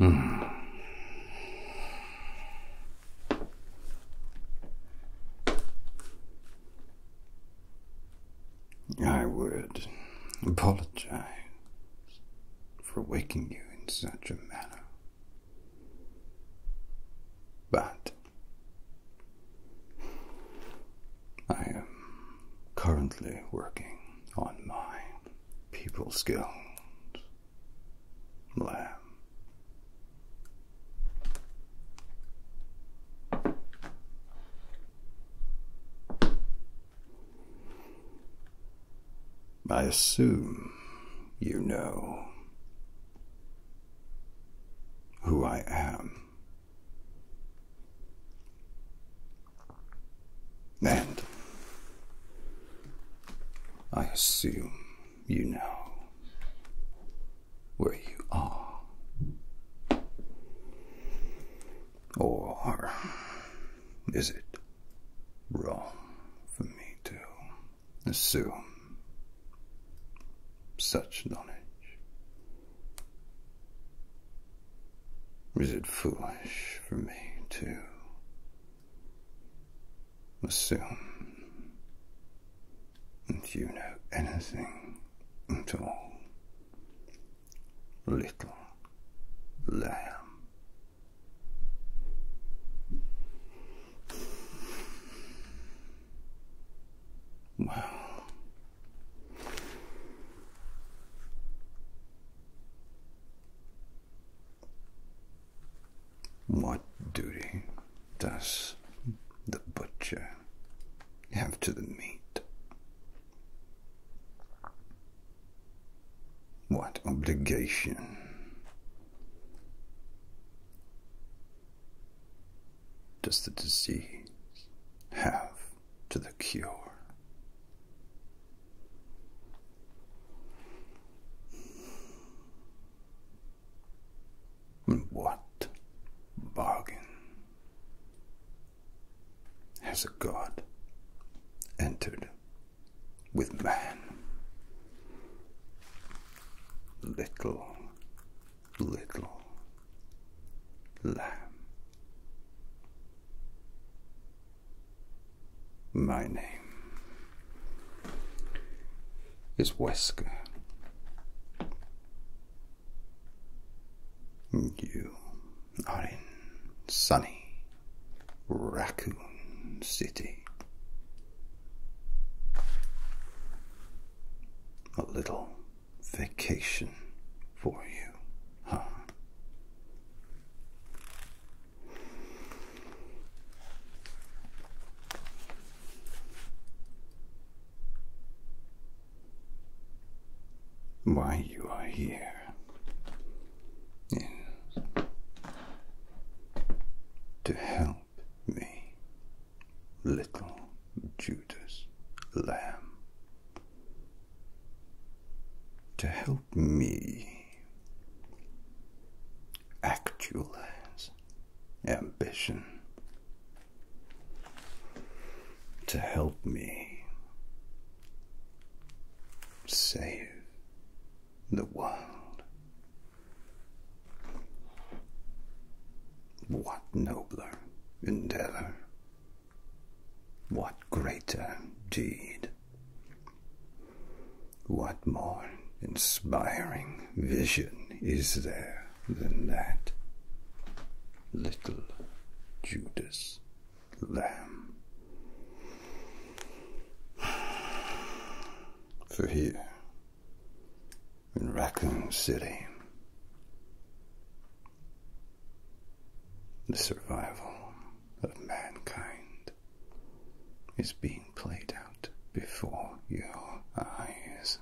Mm. I would apologize for waking you in such a manner. But I am currently working on my people skills lamb. I assume you know who I am. And I assume you know where you are or is it wrong for me to assume such knowledge? Is it foolish for me to assume that you know anything at all? Little lamb, what duty does the butcher have to the meat? What obligation? Does the disease have to the cure? What bargain has a god entered with man. Little, little lamb. My name is Wesker. You are in sunny Raccoon City. A little vacation for you, huh? Why you are here there. To help me, little Judas Lamb. To help me actualize ambition. To help me save the world. What nobler endeavor? What greater deed? What more inspiring vision is there than that? Little Judas lamb. For here in Raccoon City, the survival of mankind is being played out before your eyes.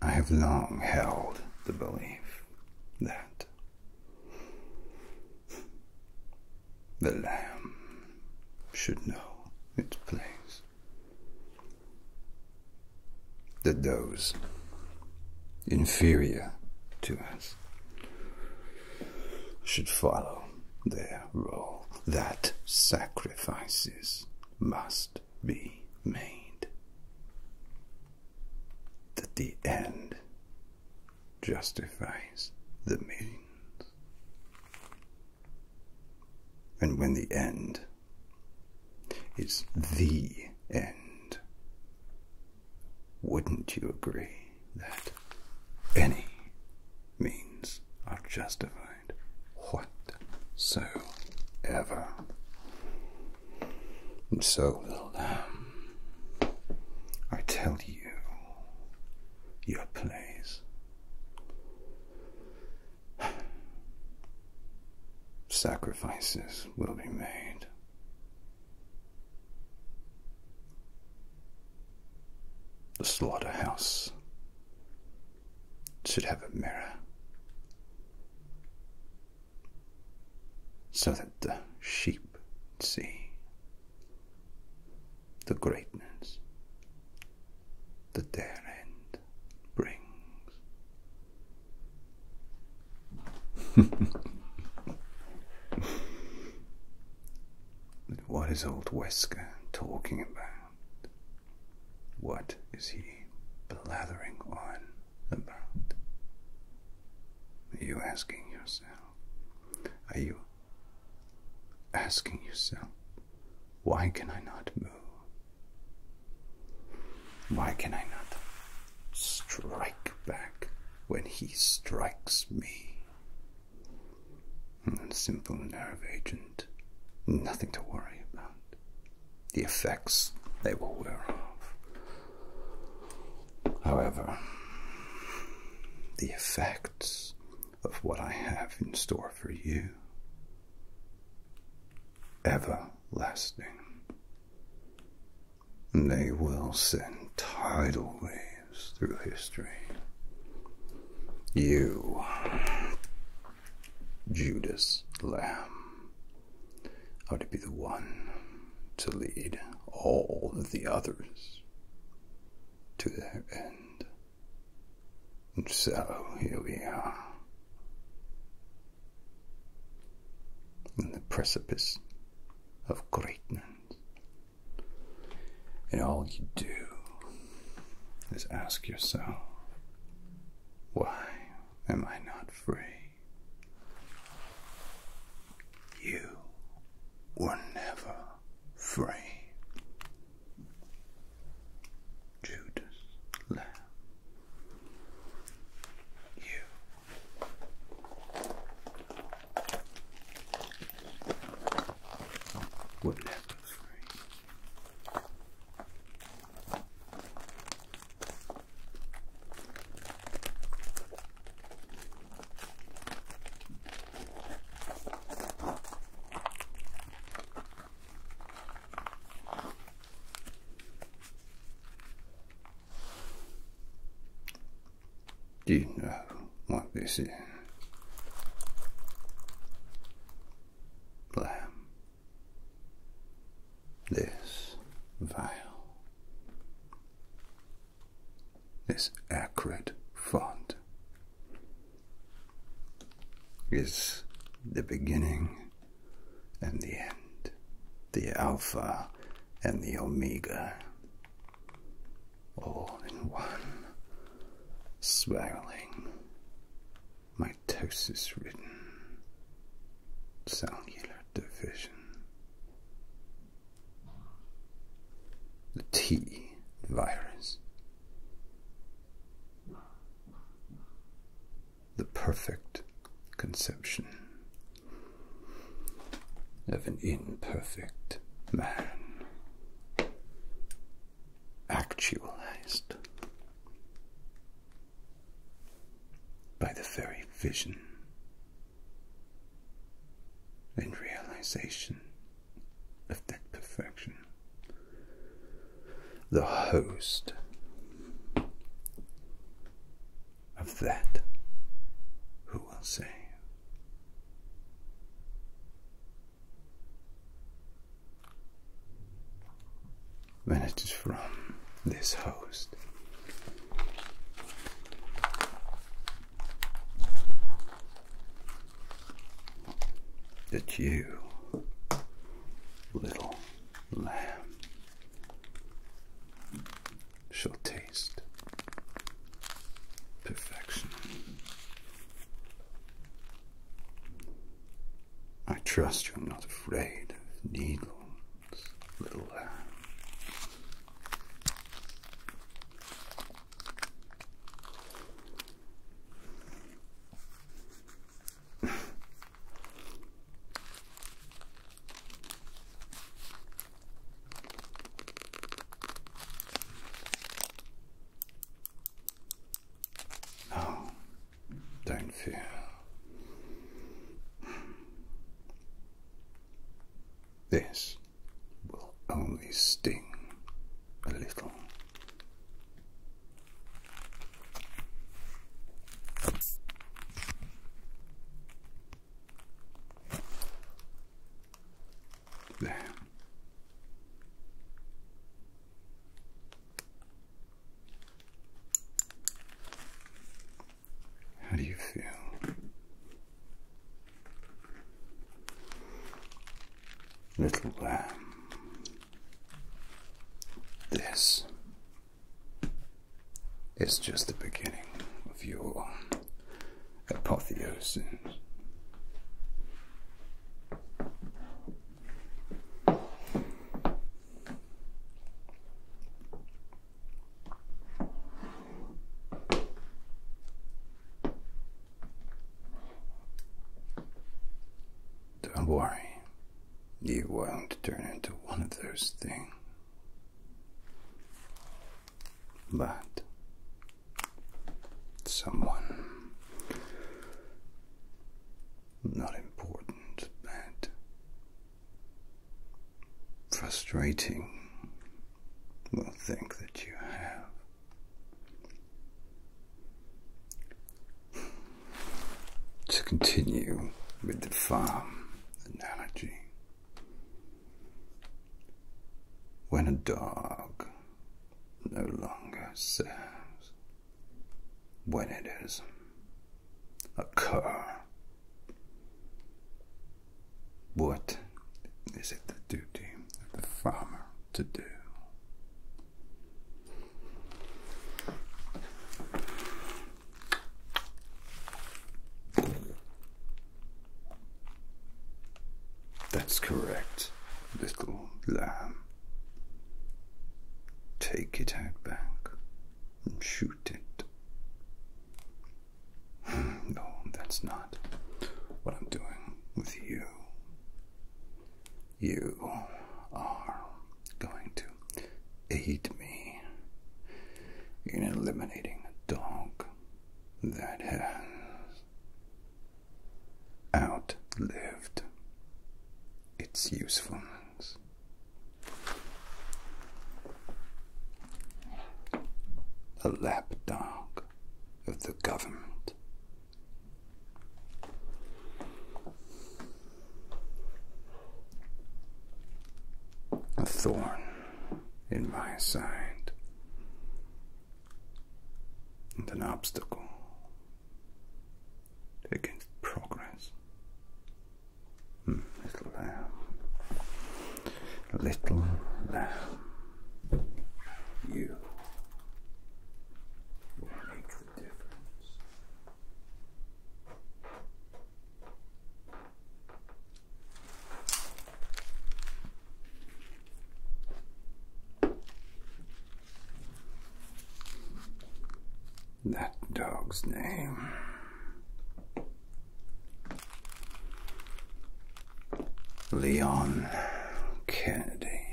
I have long held the belief that the lamb should know its place, that those inferior to us should follow their role, that sacrifices must be made. That the end justifies the means. And when the end is the end, wouldn't you agree that any means are justified? whatsoever. And so, little lamb, um, I tell you, your place. Sacrifices will be made. The slaughterhouse should have a mirror so that the sheep see the greatness that their end brings. what is old Wesker talking about? What is he blathering on about? Are you asking yourself? Are you asking yourself, why can I not move? Why can I not strike back when he strikes me? Mm, simple nerve agent. Nothing to worry about. The effects they will wear off. However, the effects of what I have in store for you everlasting. They will send tidal waves through history. You Judas Lamb ought to be the one to lead all the others to their end. And so here we are. in the precipice of greatness. And all you do is ask yourself, why am I not free? You were never free. Judas You would never free. Do you know what this is? this vile, this acrid font is the beginning and the end, the Alpha and the Omega, all in one Swelling, mitosis ridden, cellular division. The T virus. The perfect conception of an imperfect man actualized by the very vision and realization of that perfection. The host of that who will save when it is from this host. That you, little lamb, shall taste perfection. I trust you're not afraid of needles, little lamb. No, don't fear. This will only sting a little. There. How do you feel? Little lamb, um, this is just the beginning of your apotheosis. Don't worry, you won't turn into one of those things but someone not important but frustrating will think that you have. To continue with the farm analogy, when a dog no longer serves, when it is a cur. What is it the duty of the farmer to do? That's correct, little lamb. Take it out back and shoot it. Hmm, no, that's not what I'm doing with you. You are going to aid me in eliminating a dog that has outlived its usefulness. A lapdog of the government. A thorn in my side, and an obstacle against progress. Hmm, little lamb, little lamb, you make the difference. That dog's name. Leon Kennedy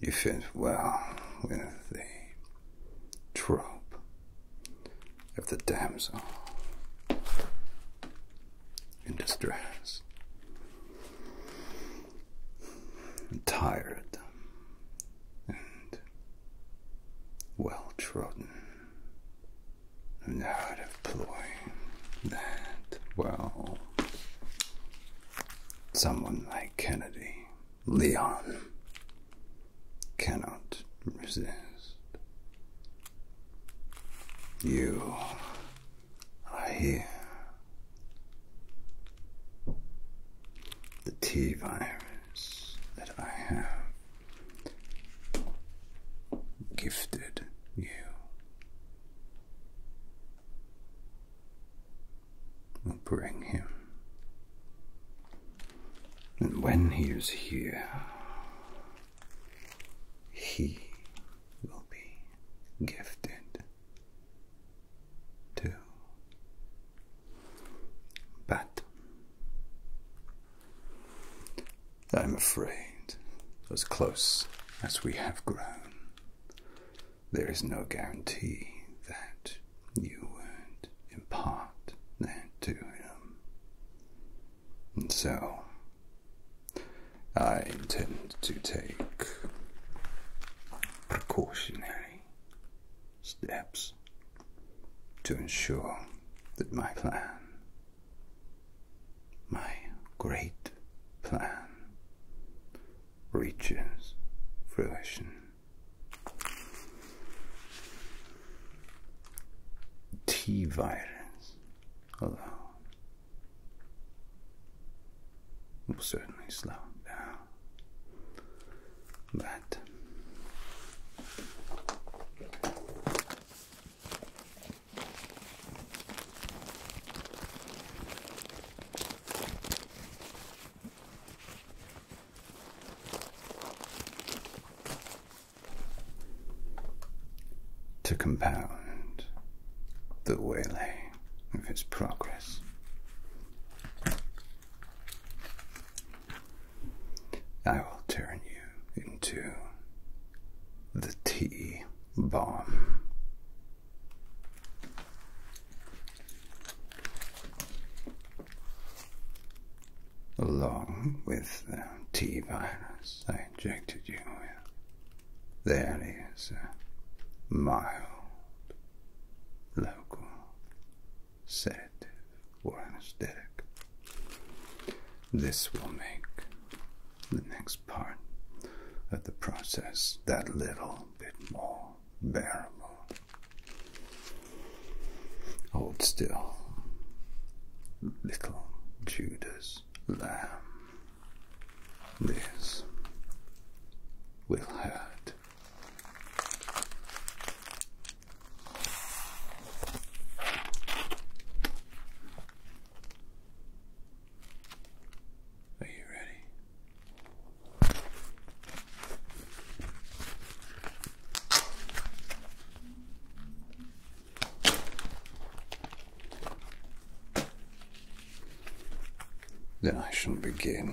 you fit well with the trope of the damsel in distress, and tired and well trodden, and out of ploy that, well, someone Kennedy, Leon, cannot resist. You are here. The T virus that I have gifted you will bring him. And when he is here, he will be gifted too. But I'm afraid, as close as we have grown, there is no guarantee that you would impart that to him. And so, I intend to take precautionary steps to ensure that my plan, my great plan, reaches fruition. T virus alone will certainly slow down, but to compound the waylay of its progress. I will turn you into the tea bomb Along with the T virus I injected you with, there is a mild local sedative or anesthetic. This will make the next part of the process that little bit more bearable. Hold still, little Judas lamb. This will hurt. Are you ready? Then I shouldn't begin.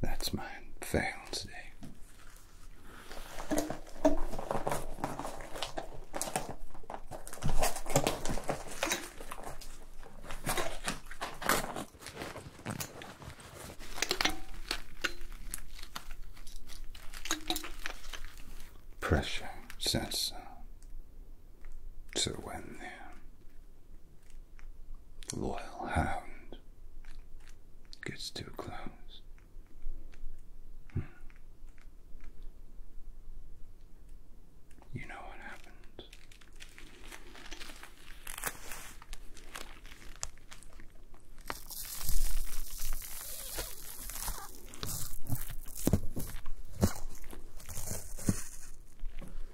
That's my Valentine's Day. Pressure sensor so when the loyal hound gets too close, hmm, you know what happens.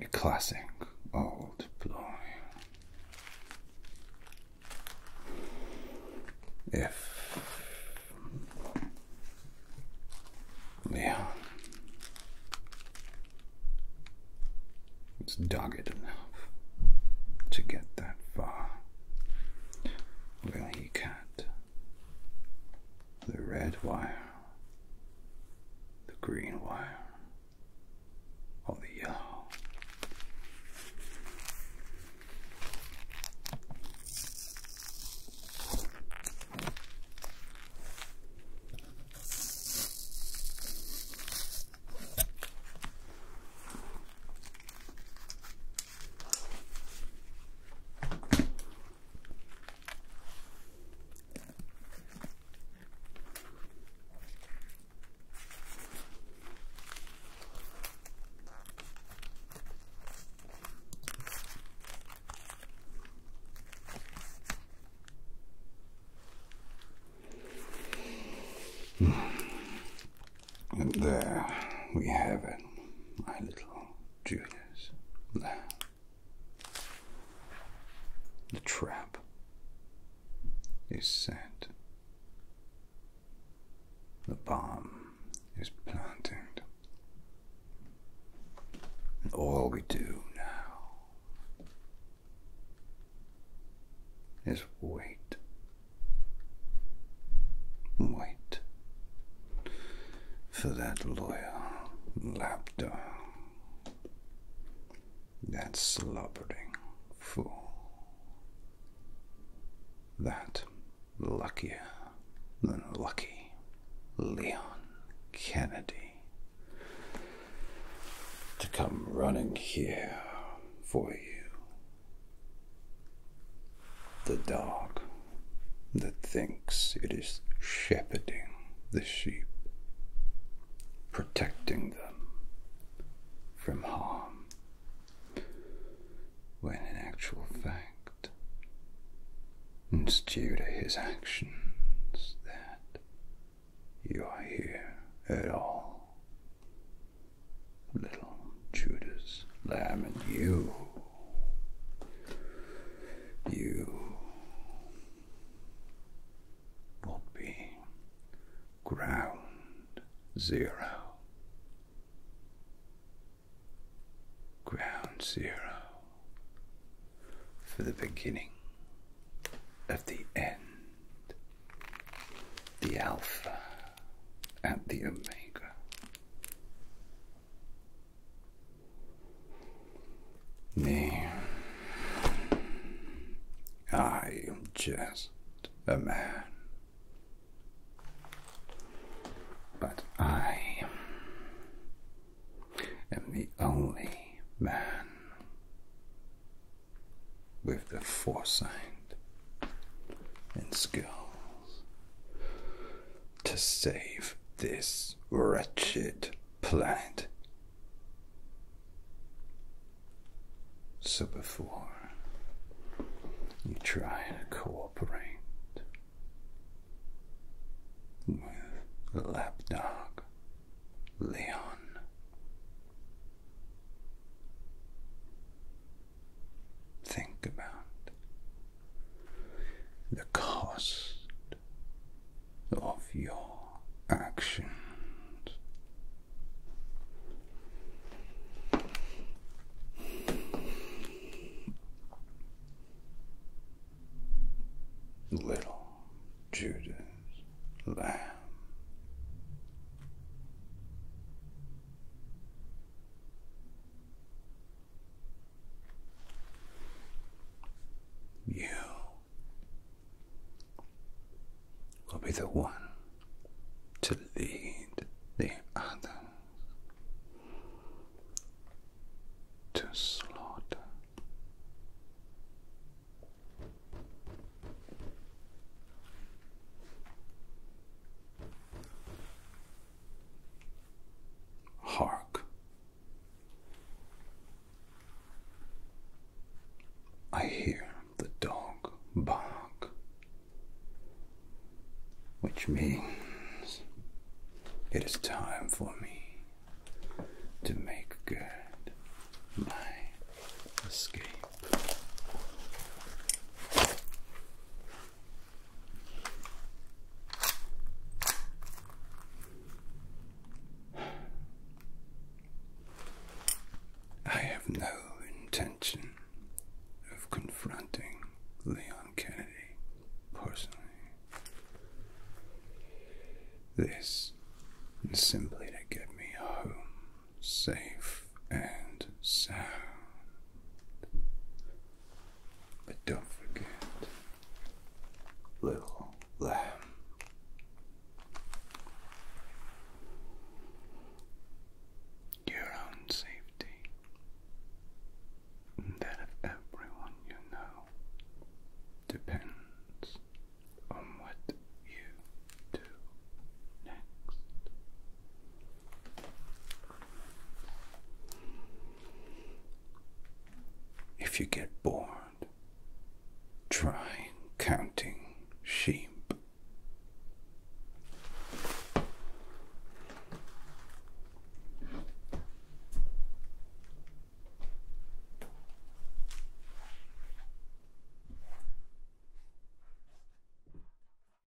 A classic old ploy. If Leon was dogged enough to get that far, well, he can The red wire the green wire or the yellow. And there we have it, my little Julius. lamb. The trap is set. The bomb is planted. And all we do now is wait. Wait for that loyal lapdog, that slobbering fool, that luckier than lucky Leon Kennedy to come running here for you. The dog that thinks it is shepherding the sheep, protecting them from harm, when in actual fact it's due to his actions that you are here at all. Little Judas Lamb and you you will be ground zero. Ground zero for the beginning of the end, the Alpha and the Omega, Nay, I am just a man, but I am the only man with the foresight and skills to save this wretched planet. So before you try to cooperate with Lapdog Leon, think about the cost of your actions. Little Judas Lamb. You will be the one to lead the others to slaughter. Hark. I hear the dog bark, which means it is time for me to make good my escape. I have no intention of confronting Leon Kennedy personally. This is simply to get me home safe and sound. But don't forget, little lamb. Your own safety, and that of everyone you know, depends on what you do next. If you get bored, try counting sheep.